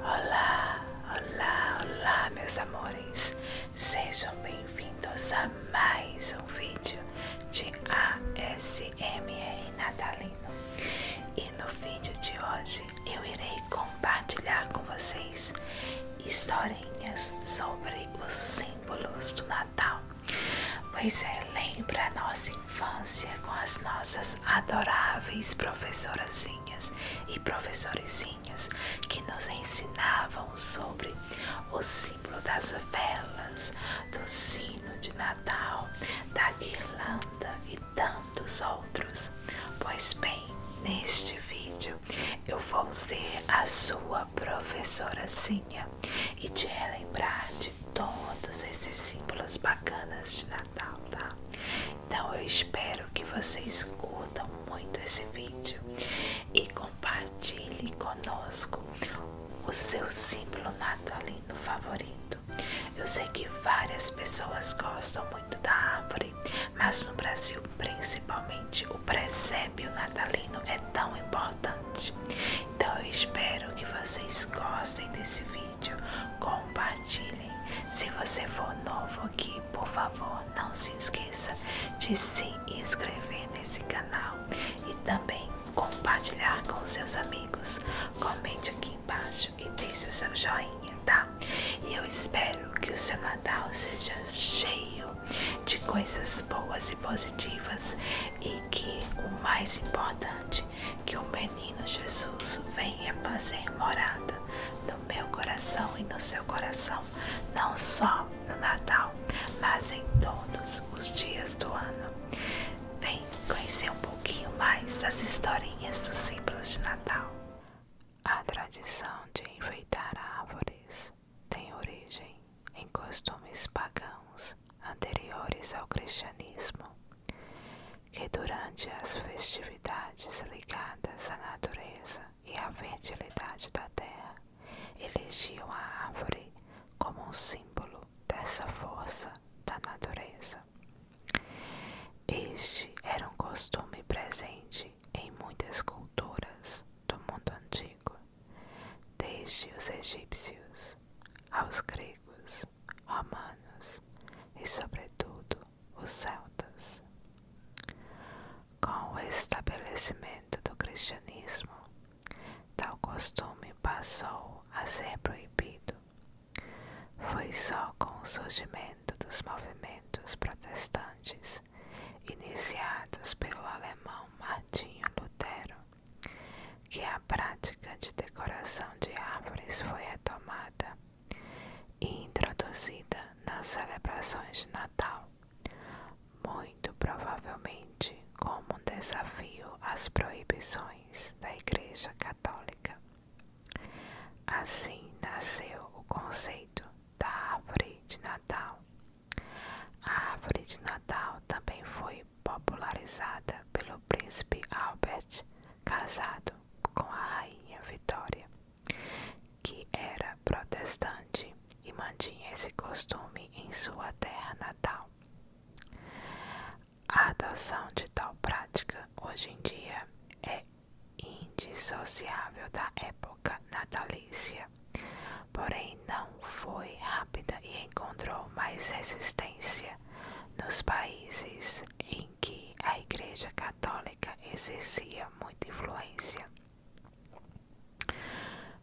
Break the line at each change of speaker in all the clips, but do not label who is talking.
Olá, olá, olá, meus amores. Sejam bem-vindos a mais um vídeo de ASMR natalino. E no vídeo de hoje eu irei compartilhar com vocês historinhas sobre os símbolos do Natal. Pois é, lembra a nossa infância com as nossas adoráveis professorazinhas e professorizinhos que nos ensinavam sobre o símbolo das velas, do sino de Natal, da guirlanda e tantos outros. Pois bem, neste vídeo eu vou ser a sua professorazinha e te relembrar de todos esses símbolos bacanas de Natal. Tá? Então eu espero que vocês curtam muito esse vídeo e compartilhe conosco o seu símbolo natalino favorito. Eu sei que várias pessoas gostam muito da árvore, mas no Brasil, principalmente, o presépio natalino é tão importante. Então eu espero que vocês gostem desse vídeo vídeo, compartilhem. Se você for novo aqui, por favor, não se esqueça de se inscrever nesse canal e também compartilhar com seus amigos. Comente aqui embaixo e deixe o seu joinha, tá? E eu espero que o seu Natal seja cheio de coisas boas e positivas e que o mais importante que o menino Jesus venha fazer morada no meu coração e no seu coração, não só no Natal, mas em todos os dias do ano. Vem conhecer um pouquinho mais das historinhas dos símbolos de Natal. A tradição de enfeitar árvores tem origem em costumes pagãos anteriores ao cristianismo que durante as festividades ligadas à natureza e à fertilidade da terra elegiam a árvore como um símbolo dessa força da natureza. Este era um costume presente em muitas culturas do mundo antigo, desde os egípcios aos gregos, romanos e, sobretudo, os celtas. Com o estabelecimento do cristianismo, tal costume passou a ser proibido. Foi só com o surgimento dos movimentos protestantes iniciados pelo alemão Martinho Lutero que a prática de decoração de árvores foi retomada e introduzida nas celebrações de Natal, muito provavelmente como um desafio às proibições da Igreja Católica. Assim nasceu o conceito da árvore de Natal. A árvore de Natal também foi popularizada pelo príncipe Albert casado com a rainha Vitória, que era protestante e mantinha esse costume em sua terra natal. A adoção de tal prática hoje em dia é indissociável da época natalícia, porém não foi rápida e encontrou mais resistência nos países em em que a Igreja Católica exercia muita influência.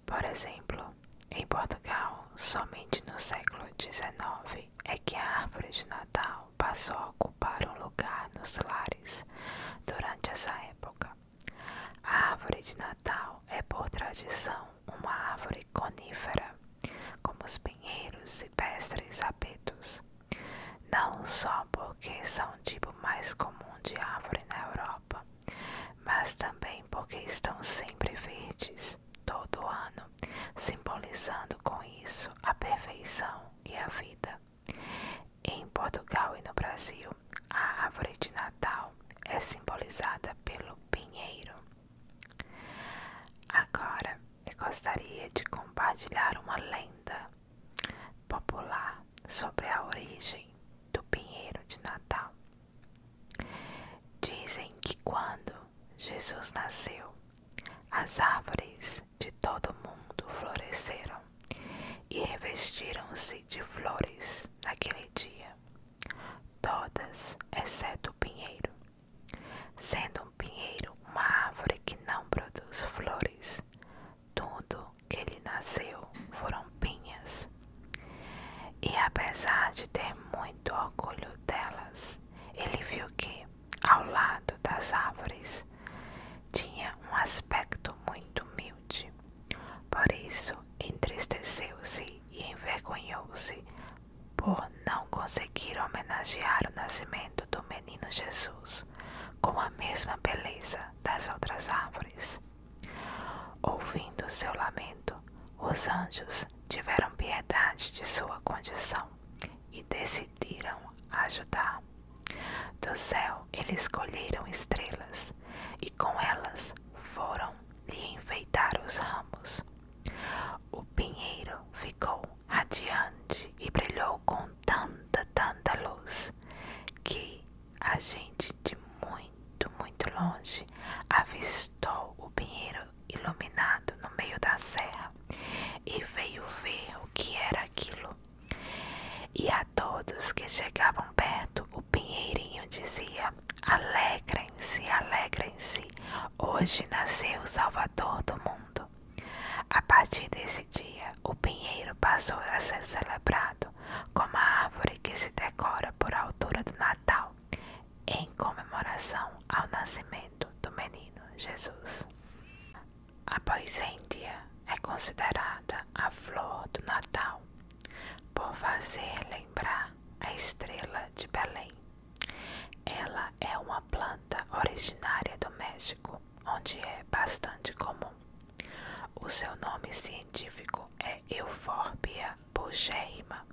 Por exemplo, em Portugal, somente no século XIX é que a árvore de Natal passou a ocupar um lugar nos lares durante essa época. A árvore de Natal é, por tradição, uma árvore conífera como os pinheiros, cipestres, abetos, não só porque são o tipo mais comum de árvore na Europa, mas também porque estão sempre verdes todo ano, simbolizando com isso a perfeição e a vida. Em Portugal e no Brasil, a árvore de Natal é simbolizada pelo pinheiro. Agora, e gostaria de compartilhar uma lenda popular sobre a origem do pinheiro de Natal. Dizem que quando Jesus nasceu, as árvores de todo o mundo floresceram e revestiram-se de flores naquele dia, todas exceto o pinheiro, sendo um pinheiro uma árvore que não produz flores. Tudo que lhe nasceu foram pinhas. E apesar de ter muito orgulho delas, ele viu que, ao lado das árvores, tinha um aspecto muito humilde. Por isso, entristeceu-se e envergonhou-se por não conseguir homenagear o nascimento do menino Jesus com a mesma beleza das outras árvores. Ouvindo seu lamento, os anjos tiveram piedade de sua condição e decidiram ajudar. Do céu eles colheram estrelas e com elas foram lhe enfeitar os ramos. O pinheiro ficou radiante e brilhou com tanta, tanta luz que a gente de muito, muito longe avistou o pinheiro iluminado no meio da serra e veio ver o que era aquilo. E a todos que chegavam perto, o pinheirinho dizia: Alegrem-se, alegrem-se, hoje nasceu o Salvador do mundo. A partir desse dia, o pinheiro passou a ser celebrado como a árvore que se decora por altura do Natal, em comemoração ao nascimento do menino Jesus. A poisêndia é considerada a flor do Natal, por fazer lembrar a estrela de Belém. Ela é uma planta originária do México, onde é bastante comum. O seu nome científico é Euphorbia bugeima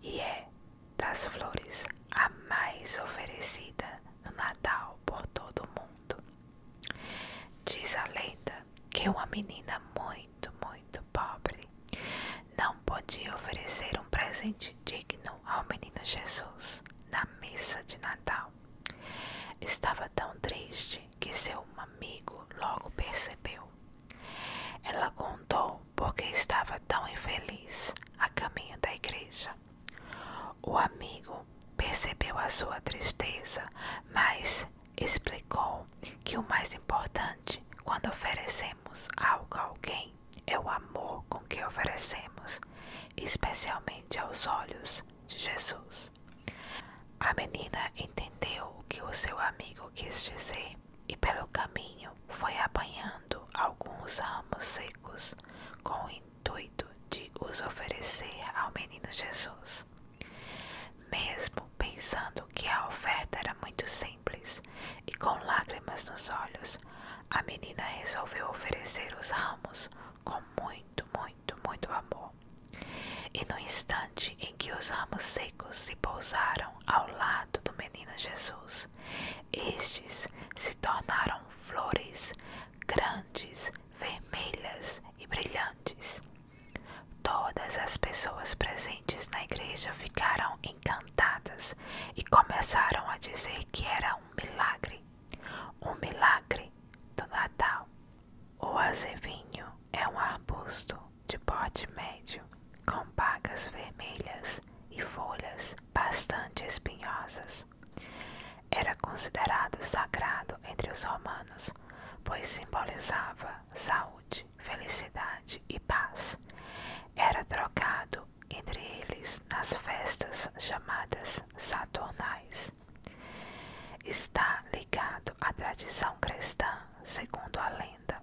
e é das flores a mais oferecida no Natal por todo o mundo. Diz a lenda que uma menina muito, muito pobre não podia oferecer um presente digno ao menino Jesus na missa de Natal. Estava tão triste que seu amigo logo percebeu. Ela contou por que estava tão infeliz a caminho da igreja. O amigo percebeu a sua tristeza, mas explicou que o mais importante quando oferecemos algo a alguém é o amor com que oferecemos, especialmente aos olhos de Jesus. A menina entendeu o que o seu amigo quis dizer e, pelo caminho, foi apanhando alguns ramos secos com o intuito de os oferecer ao menino Jesus. Mesmo pensando que a oferta era muito simples e com lágrimas nos olhos, a menina resolveu oferecer os ramos com muito, muito, muito amor. E no instante em que os ramos secos se pousaram ao lado do menino Jesus, estes se tornaram flores grandes, vermelhas e brilhantes. Todas as pessoas presentes na igreja ficaram encantadas e começaram a dizer que era um milagre, um milagre do Natal. O azevinho é um arbusto de porte médio com bagas vermelhas e folhas bastante espinhosas. Era considerado sagrado entre os romanos, pois simbolizava saúde, felicidade e paz. Era trocado entre eles nas festas chamadas saturnais. Está ligado à tradição cristã, segundo a lenda.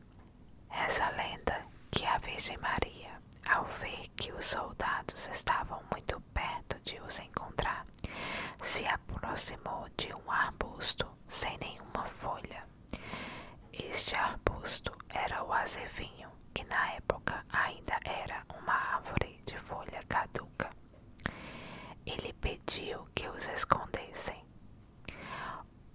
Essa lenda que a Virgem Maria, ao ver que os soldados estavam muito perto de os encontrar, se aproximou de um arbusto sem nenhuma folha. Este arbusto era o azevinho que na época ainda era uma árvore de folha caduca, Ele pediu que os escondessem.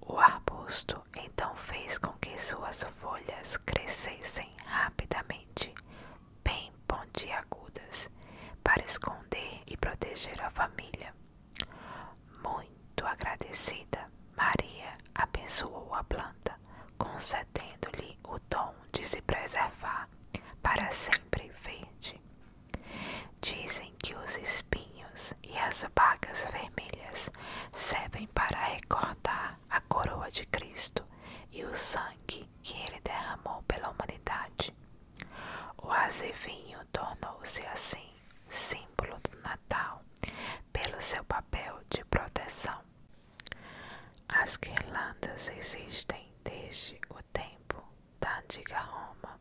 O arbusto então fez com que suas folhas crescessem rapidamente, bem pontiagudas, para esconder e proteger a família. Muito muito agradecida, Maria abençoou a planta, concedendo-lhe o dom de se preservar para sempre verde. Dizem que os espinhos e as bagas vermelhas servem para recordar a coroa de Cristo e o sangue que ele derramou pela humanidade. O azevinho tornou-se assim sim do Natal pelo seu papel de proteção. As guirlandas existem desde o tempo da antiga Roma.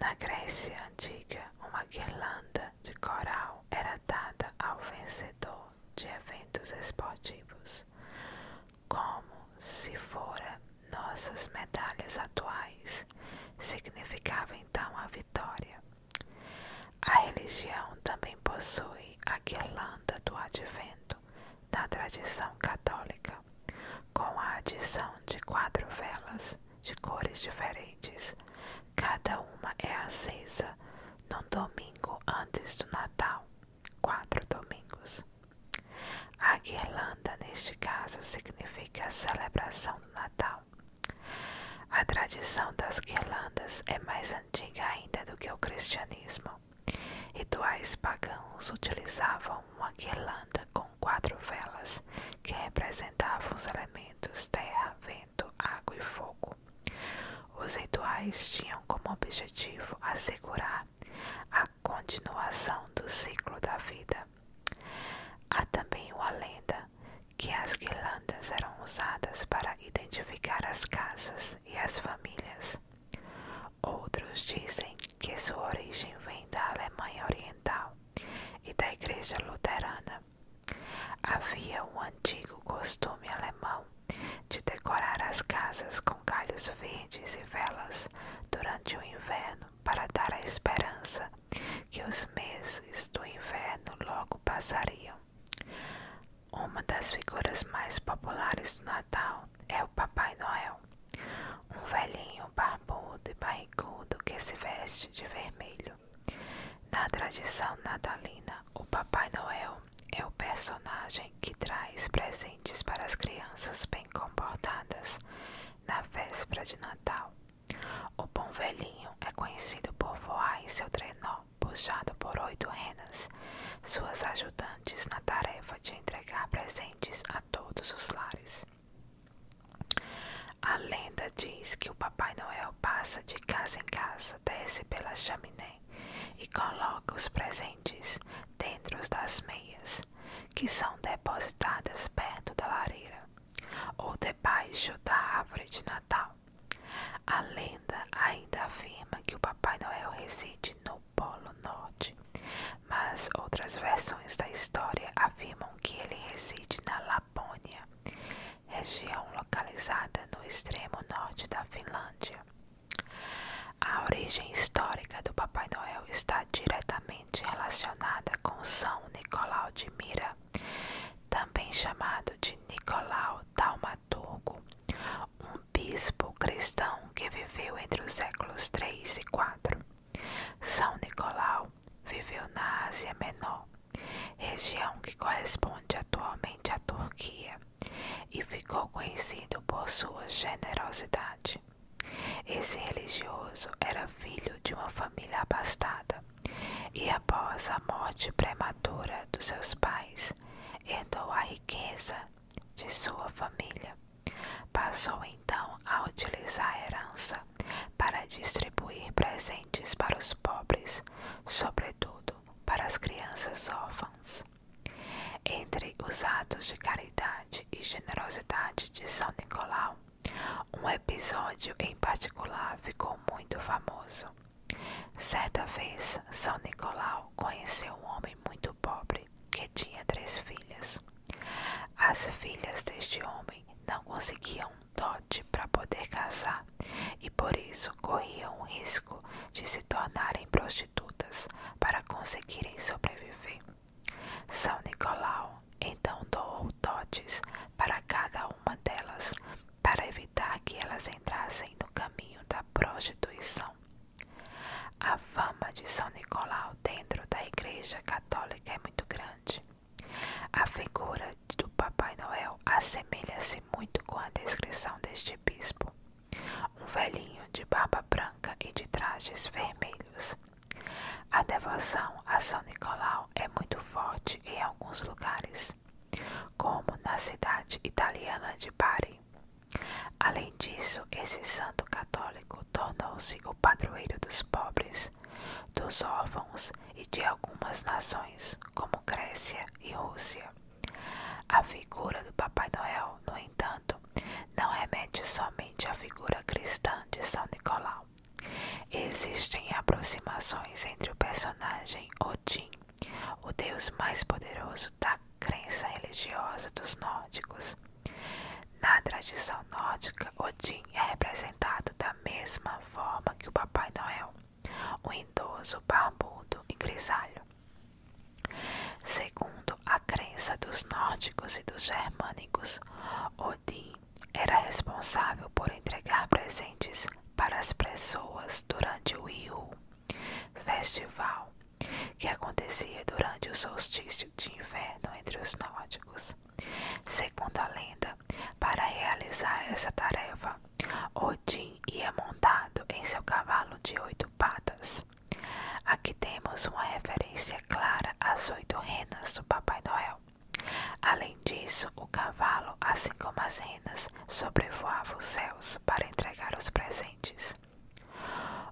Na Grécia antiga, uma guirlanda de coral era dada ao vencedor de eventos esportivos, como se fora nossas medalhas atuais, significava então a vitória. A religião também possui a guirlanda do advento na tradição católica, com a adição de quatro velas de cores diferentes. Cada uma é acesa no domingo antes do Natal, quatro domingos. A guirlanda, neste caso, significa a celebração do Natal, a tradição das guirlandas é mais antiga ainda do que o cristianismo. Rituais pagãos utilizavam uma guirlanda com quatro velas que representavam os elementos terra, vento, água e fogo. Os rituais tinham como objetivo assegurar a continuação do ciclo da vida. Há também uma lenda que as guirlandas eram usadas para identificar as casas e as famílias. Outros dizem que sua origem vem da Alemanha Oriental e da Igreja Luterana. Havia um antigo costume alemão de decorar as casas com galhos verdes e velas durante o inverno para dar a esperança que os meses do inverno logo passariam. Uma das figuras mais populares do Natal é o Papai Noel, um velhinho barbudo e barrigudo que se veste de vermelho. Na tradição natalina, o Papai Noel é o personagem que traz presentes para as crianças bem comportadas na véspera de Natal. O bom velhinho é conhecido por voar em seu trenó, puxado por oito renas, suas ajudantes na tarefa de entregar presentes a todos os lares. A lenda diz que o Papai Noel passa de casa em casa, desce pela chaminé e coloca os presentes dentro das meias, que são depositadas perto da lareira ou debaixo da árvore de Natal. A lenda ainda afirma que o Papai Noel reside no Polo Norte, mas outras versões da história afirmam que ele reside na Lapônia, região localizada no extremo norte da Finlândia. A origem histórica do Papai Noel está diretamente relacionada com São Nicolau de Mira, também chamado de Nicolau Taumaturgo, um bispo cristão que viveu entre os séculos 3 e 4. São Nicolau viveu na Ásia Menor, região que corresponde atualmente à Turquia, e ficou conhecido por sua generosidade. Esse religioso era filho de uma família abastada e após a morte prematura dos seus pais, herdou a riqueza de sua família. Passou então a utilizar a herança para distribuir presentes para os pobres, sobretudo para as crianças órfãs. Entre os atos de caridade e generosidade de São Nicolau, um episódio em particular ficou muito muito famoso. Certa vez, São Nicolau conheceu um homem muito pobre que tinha três filhas. As filhas deste homem não conseguiam um dote para poder casar e por isso corriam o risco de se tornarem prostitutas para conseguirem sobreviver. São Nicolau então doou dotes para cada uma delas para evitar que elas entrassem no caminho da prostituição. A fama de São Nicolau dentro da Igreja Católica é muito grande. A figura do Papai Noel assemelha-se muito com a descrição deste bispo: um velhinho de barba branca e de trajes vermelhos. A devoção a São Nicolau é muito forte em alguns lugares como na cidade italiana de Bari. Além disso, esse santo católico tornou-se o padroeiro dos pobres, dos órfãos e de algumas nações, como Grécia e Rússia. A figura do Papai Noel, no entanto, não remete somente à figura cristã de São Nicolau. Existem aproximações entre o personagem Odin, o deus mais poderoso da crença religiosa dos nórdicos. Na tradição nórdica, Odin é representado da mesma forma que o Papai Noel, um idoso barbudo e grisalho. Segundo a crença dos nórdicos e dos germânicos, Odin era responsável por entregar presentes para as pessoas durante o IU, festival que acontecia durante o solstício de inverno entre os nórdicos. Segundo a lenda, para realizar essa tarefa, Odin ia montado em seu cavalo de oito patas. Aqui temos uma referência clara às oito renas do Papai Noel, Além disso, o cavalo, assim como as renas, sobrevoava os céus para entregar os presentes.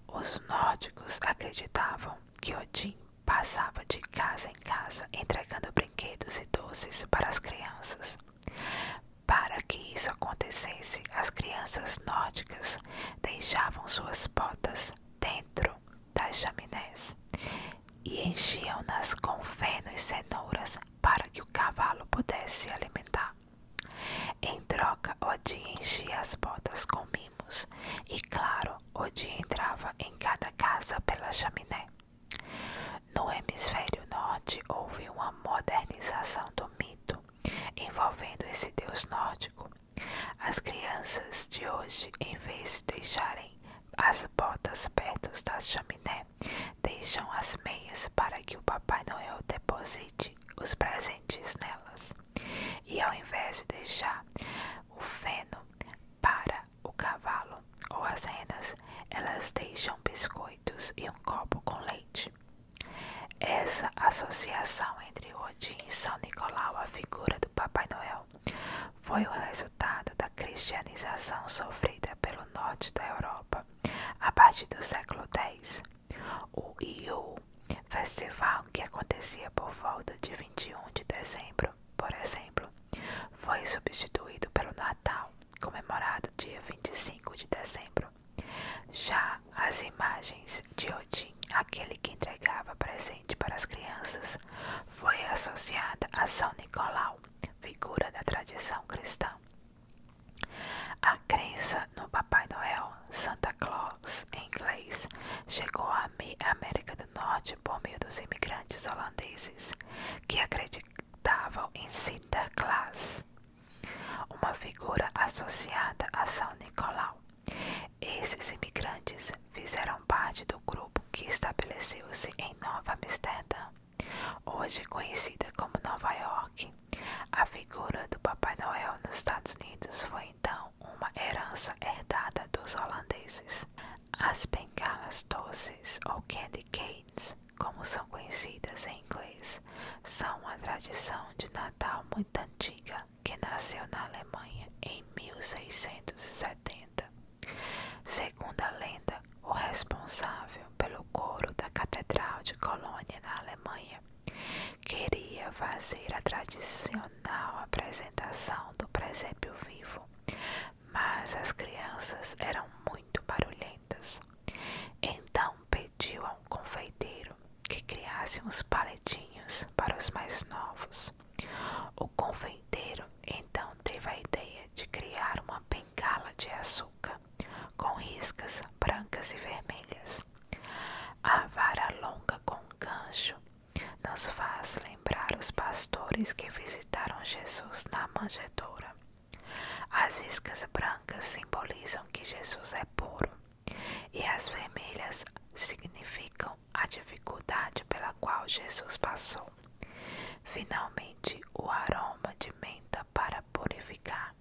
Os nórdicos acreditavam que Odin passava de casa em casa entregando brinquedos e doces para as crianças. Para que isso acontecesse, as crianças nórdicas deixavam suas botas dentro das chaminés e enchiam-nas com feno e cenouras para que o cavalo pudesse se alimentar. Em troca, Odin enchia as botas com mimos e, claro, Odin entrava em cada casa pela chaminé. No hemisfério norte houve uma modernização do mito envolvendo esse deus nórdico. As crianças de hoje, em vez de deixarem as botas perto da chaminé, deixam as meias para que o Papai Noel deposite os presentes nelas. E ao invés de deixar o feno para o cavalo ou as renas, elas deixam biscoitos e um copo com leite. Essa associação entre Odin e São Nicolau, a figura do Papai Noel, foi o resultado da cristianização sofrida pelo norte da Europa a partir do século X. O IU, festival que acontecia por volta de 21 de dezembro, por exemplo, foi substituído pelo Natal, comemorado dia 25 de dezembro. Já as imagens de Odin, aquele que entregava presente para as crianças, foi associada a São Nicolau, figura da tradição cristã. A crença no Papai Noel, Santa Claus em inglês, chegou à América do Norte por meio dos imigrantes holandeses, que acreditavam em Santa Claus, uma figura associada a São Nicolau. Esses imigrantes fizeram parte grupo que estabeleceu-se em Nova Amsterdã, hoje conhecida como Nova York. A figura do Papai Noel nos Estados Unidos foi então uma herança herdada dos holandeses. As bengalas doces, ou candy canes, como são conhecidas em inglês, são uma tradição de Natal muito antiga que nasceu na Alemanha em 1670 lenda. Segundo a lenda, o responsável pelo coro da Catedral de Colônia na Alemanha queria fazer a tradicional apresentação do presépio vivo, mas as crianças eram muito barulhentas. Então pediu a um confeiteiro que criasse uns paletinhos para os mais novos. O confeiteiro então teve a ideia de criar uma bengala de açúcar com riscas brancas e vermelhas. A vara longa com gancho nos faz lembrar os pastores que visitaram Jesus na manjedoura. As iscas brancas simbolizam que Jesus é puro e as vermelhas significam a dificuldade pela qual Jesus passou. Finalmente, o aroma de menta para purificar.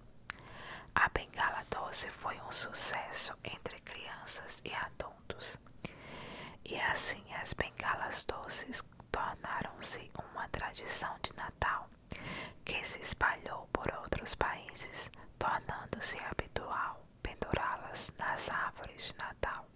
A bengala doce foi um sucesso entre crianças e adultos. E assim as bengalas doces tornaram-se uma tradição de Natal que se espalhou por outros países, tornando-se habitual pendurá-las nas árvores de Natal.